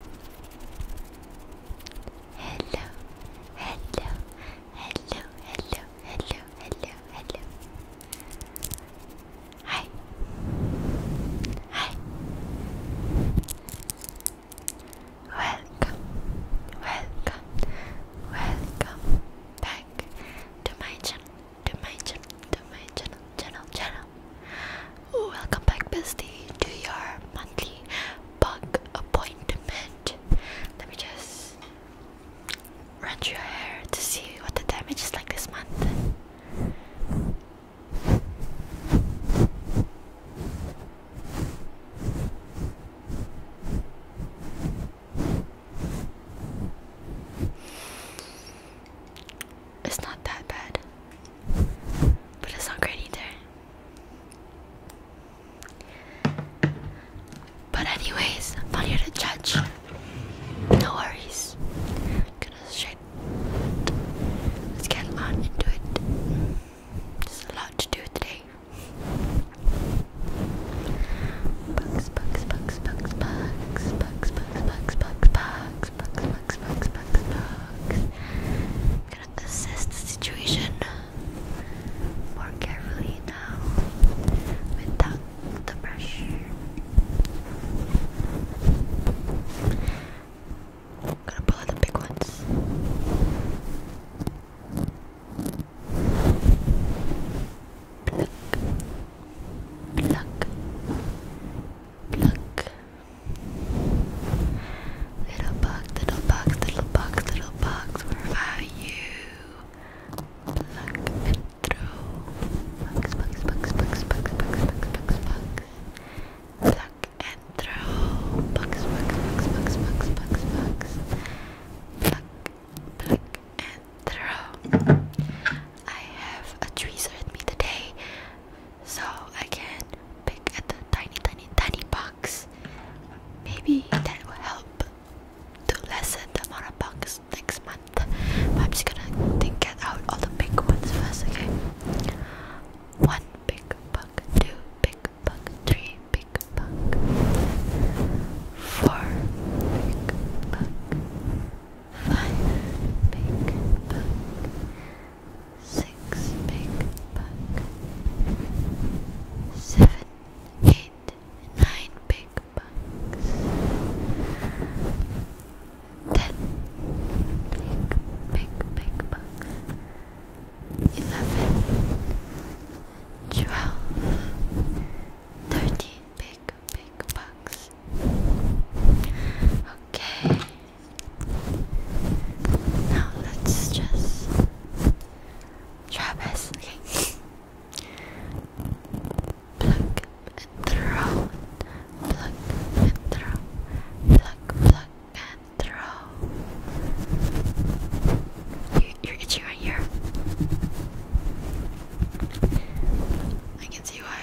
Hello, hello, hello, hello, hello, hello, hello. Hi. Hi. Welcome, welcome, welcome back to my channel, to my channel, to my channel, channel, channel, Oh, welcome back, bestie, to your monthly bug appointment. Let me just run through your hair to see what the damage is like this month. It's not that bad. But it's not great either. But anyways, I'm not here to judge. No worries. Goodness shit. Let's get on into it. There's a lot to do today. bugs, bugs, bugs, bugs, bugs, bugs, bugs, bugs, bugs bugs, bugs, bugs, bugs, bugs, bugs. I'm gonna assess the situation more carefully now without the brush. I'm gonna pull out the big ones. Pluck, pluck, pluck. Little box, little box, little box, little box, where are you? Pluck it through. Box, box, box, box, box, box, box, box, box. Pluck and throw. Box, box, box, box, box, box, box. Pluck, pluck and throw. I have a tweezer with me today. So I can pick at the tiny, tiny, tiny box. Maybe that will help to lessen the amount of bugs next month. But I'm just gonna think, get out all the big ones first, okay? One big bug, two big bug, three big bug, four big bug, five big bug six big bug, seven, eight, nine big bugs, ten big big big bugs, eleven, twelve, thirteen big big bugs. Okay. Now let's just try Okay. Pluck and throw. Pluck and throw. Pluck, pluck and throw. You, you're itching right here. I can see why.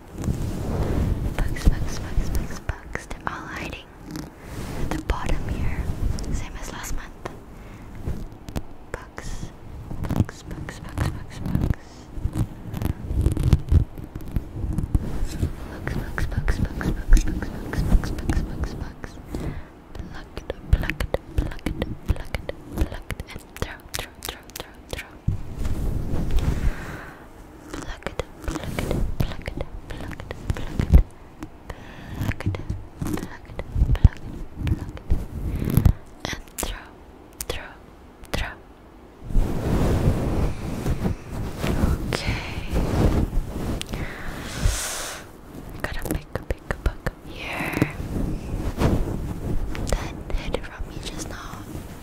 Bugs, bugs, bugs, bugs, bugs. They're all hiding at the bottom here, same as last month. Bugs, bugs, bugs, bugs, bugs, bugs. Bugs, bugs, bugs, bugs, bugs, bugs, bugs, bugs, bugs, bugs, bugs. Pluck it, pluck it, pluck it, pluck it, pluck it, and throw, throw, throw, throw, throw. Pluck it, pluck it, pluck it, pluck it, pluck it, pluck it, pluck it, pluck it, pluck it, and throw, throw, throw. Okay. Gotta pick a pick a book here. That hit it from me just now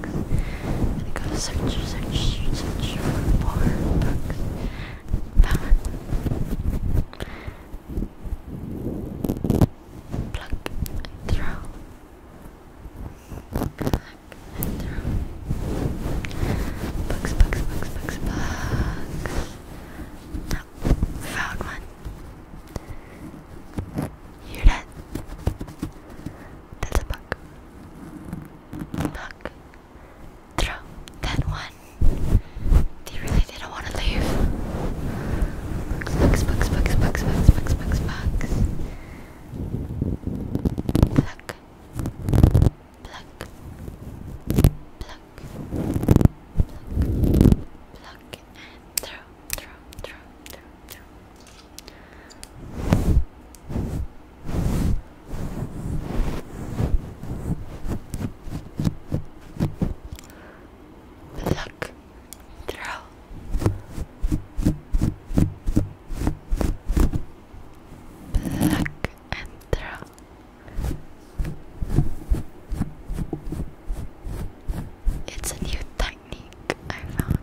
books. And I go search, search, search for more books. Found Pluck and throw. Pluck and throw. Books, books, books, books, books. No, found one. Hear that? That's a bug. Bug. Throw that one. They really didn't want to leave. Bugs, bugs, bugs, bugs, bugs, bugs, bugs, bugs. Pluck. Pluck. Pluck. Pluck. Pluck. And throw, throw, throw, throw, throw. Look, throw. Pluck and throw. It's a new thing technique I found.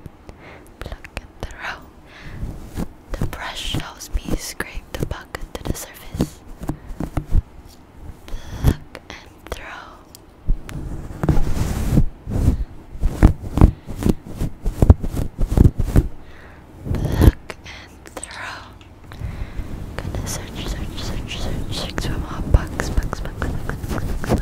Pluck and throw. The brush helps me scrape the puck to the surface. Pluck and throw. Pluck and throw. going search, search, search, search, search more bugs, bugs, bugs, bugs, bugs,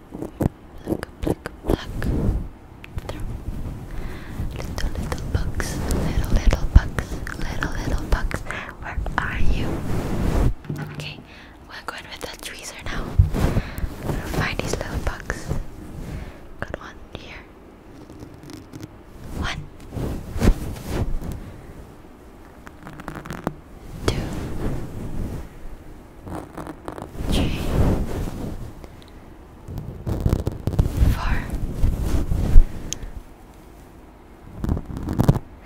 Little, little bugs. Little, little bugs. Little, little bugs. Where are you? Okay, we're going with that tweezer now. gonna find these little bugs. Got one here. One two, three, four,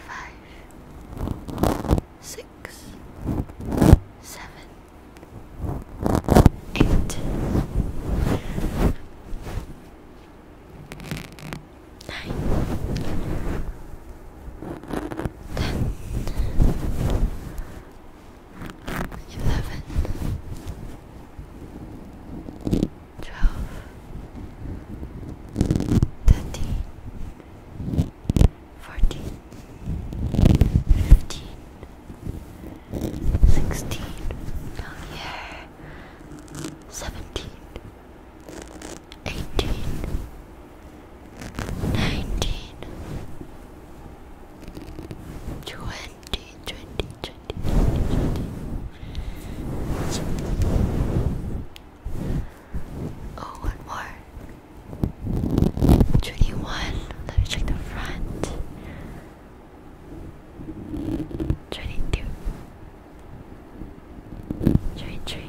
five, six, seven, eight, nine ten, eleven, twelve, thirteen, fourteen, fifteen, sixteen, down here, seventeen eighteen, nineteen, twenty, twenty, twenty, twenty, twenty. Oh, one more. Twenty-one. Let me check the front. Twenty-two. Twenty-three.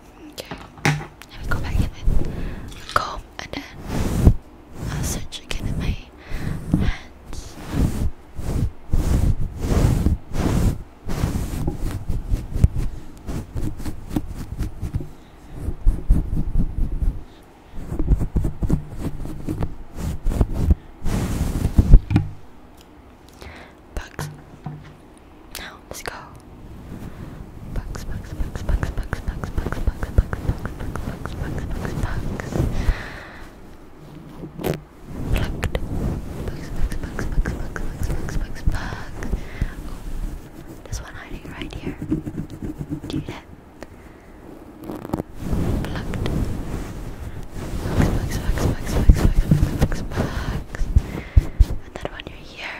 Okay, let me go back in with a comb I'll search again in my hands. Bugs. Let's go. Bugs, bugs, bugs, bugs, bugs, bugs, bugs, bugs, bugs, bugs, bugs, bugs, bugs, bugs, bugs. Plucked. Bugs, bugs, bugs, bugs, bugs, bugs, bugs, bugs, bugs. Oh, there's one hiding right here. Do you hear? Plucked. Bugs, bugs, bugs, bugs, bugs, bugs, bugs, And that one you're here.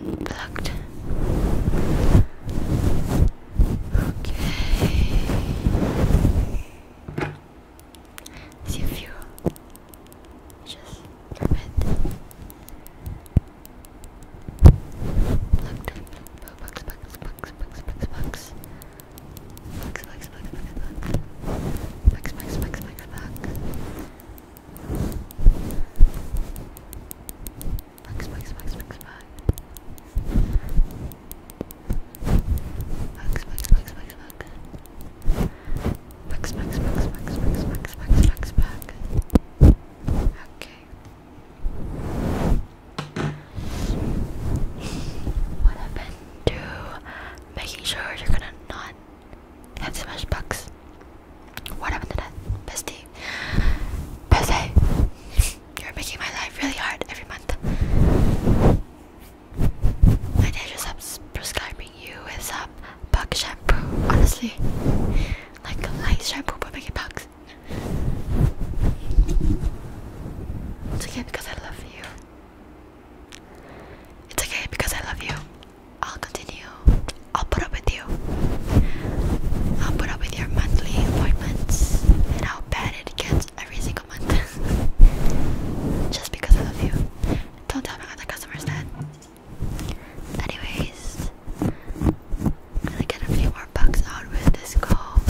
and plugged. Okay. See if you just drop it. Plugged. Box, box, box, box, box, box. Box, box, box, box, box. Box, box, box, box, box. Bugs, bugs, bugs, bugs, bugs. Bugs, bugs, bugs, bugs, bugs. Bugs, bugs, bugs, bugs, bugs, bugs, bugs, bugs, bugs. Okay. What happened to making sure you're gonna not have so much bugs? What happened to that? Bestie. Bestie. You're making my life really hard every month. My dad just up prescribing you with some bug shampoo, honestly. Like light shampoo but making bugs. It's okay because I love you. It's okay because I love you. I'll continue I'll put up with you. I'll put up with your monthly appointments and how bad it gets every single month. Just because I love you. Don't tell my other customers that. Anyways, I'm gonna get a few more bucks out with this call.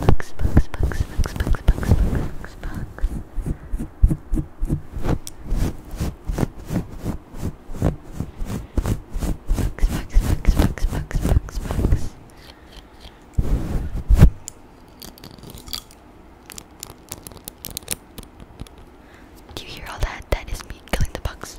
Bucks, bucks, bucks, bucks, bucks, bucks, bucks, bucks. Bugs, bugs, bugs, bugs, bugs, bugs, bugs. Do you hear all that? That is me killing the bugs.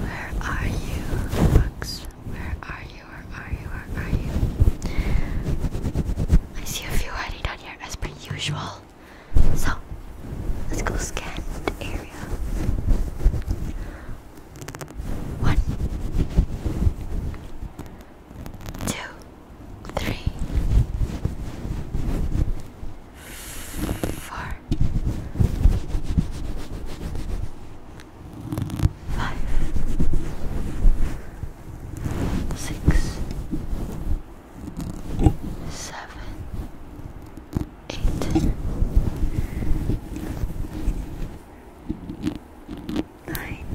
Where are you, Lux? Where are you? Where are you? Where are you? I see a few hiding down here as per usual. So, let's go scan the area. One, two, three, four, four, five, six, seven, eight, nine,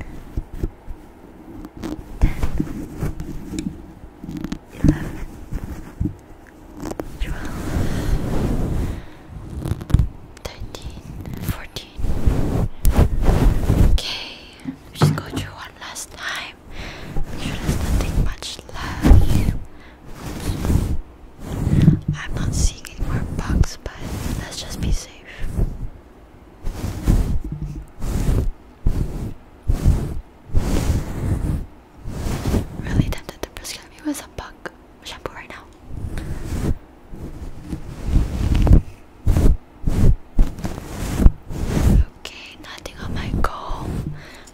ten, eleven. 12 13 14 okay just go through one last time sure there's nothing much left I'm not seeing any more bugs but let's just be safe really tempted to prescribe you with a bug shampoo right now. Okay, nothing on my comb,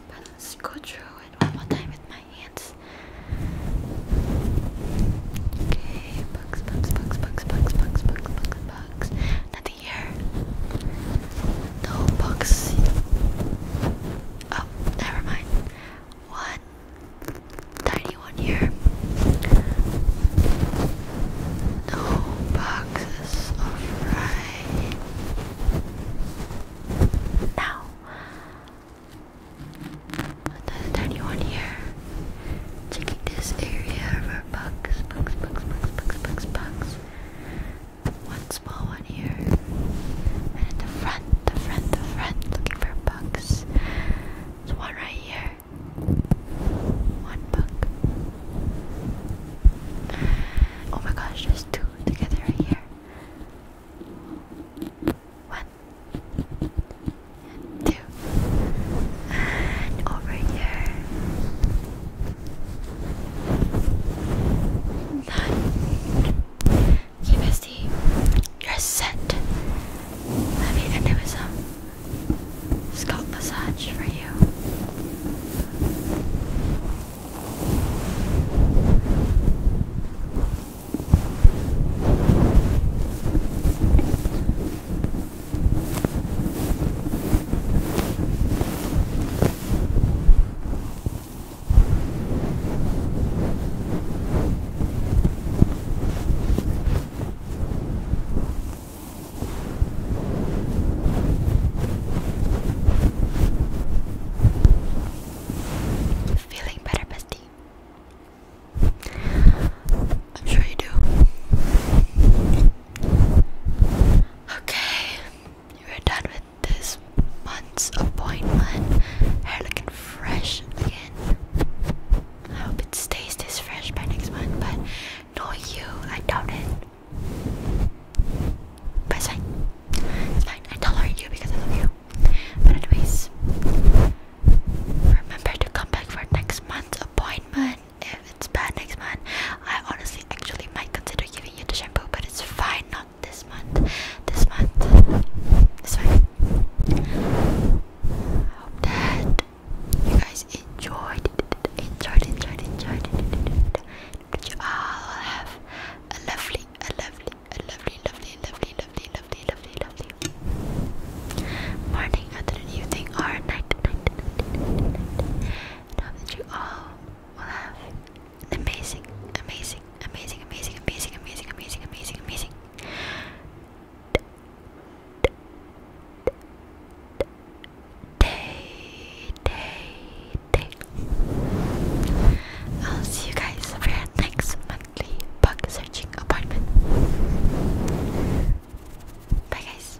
but let's go through it one more time with my hands. Okay, bugs, bugs, bugs, bugs, bugs, bugs, bugs, bugs, bugs the year. The box. Oh, never mind. One tiny one here. The boxes of now. Another tiny one here. Checking this area for bugs, bugs, bugs, bugs, bugs, bugs, bugs. One small one here. And at the front, the front, the front, looking for bugs. There's one right here. One bug. Oh my gosh, there's two together right here. One. two. And over here. Done. Okay, bestie. You're set. Let me end some scalp massage for you. Feeling better, bestie? I'm sure you do. Okay. We're done with this month's appointment. Hair looking fresh again. I hope it stays this fresh by next month, but no you, I doubt it. it's fine. It's fine. I tolerate you because I love you. But anyways, remember to come back for next month's appointment if it's bad next month, I honestly actually might consider giving you the shampoo, but it's fine, not this month. This month, this fine. I hope that you guys enjoyed, enjoyed, enjoyed, enjoyed, that you all have a lovely, a lovely, a lovely, lovely, lovely, lovely, lovely, lovely, lovely, morning, afternoon, evening, or night, night, night that you all will have an amazing, amazing, amazing, amazing, amazing, amazing, amazing, amazing, amazing. Day, day, day. I'll see you guys for our next monthly bug searching apartment. Bye, guys.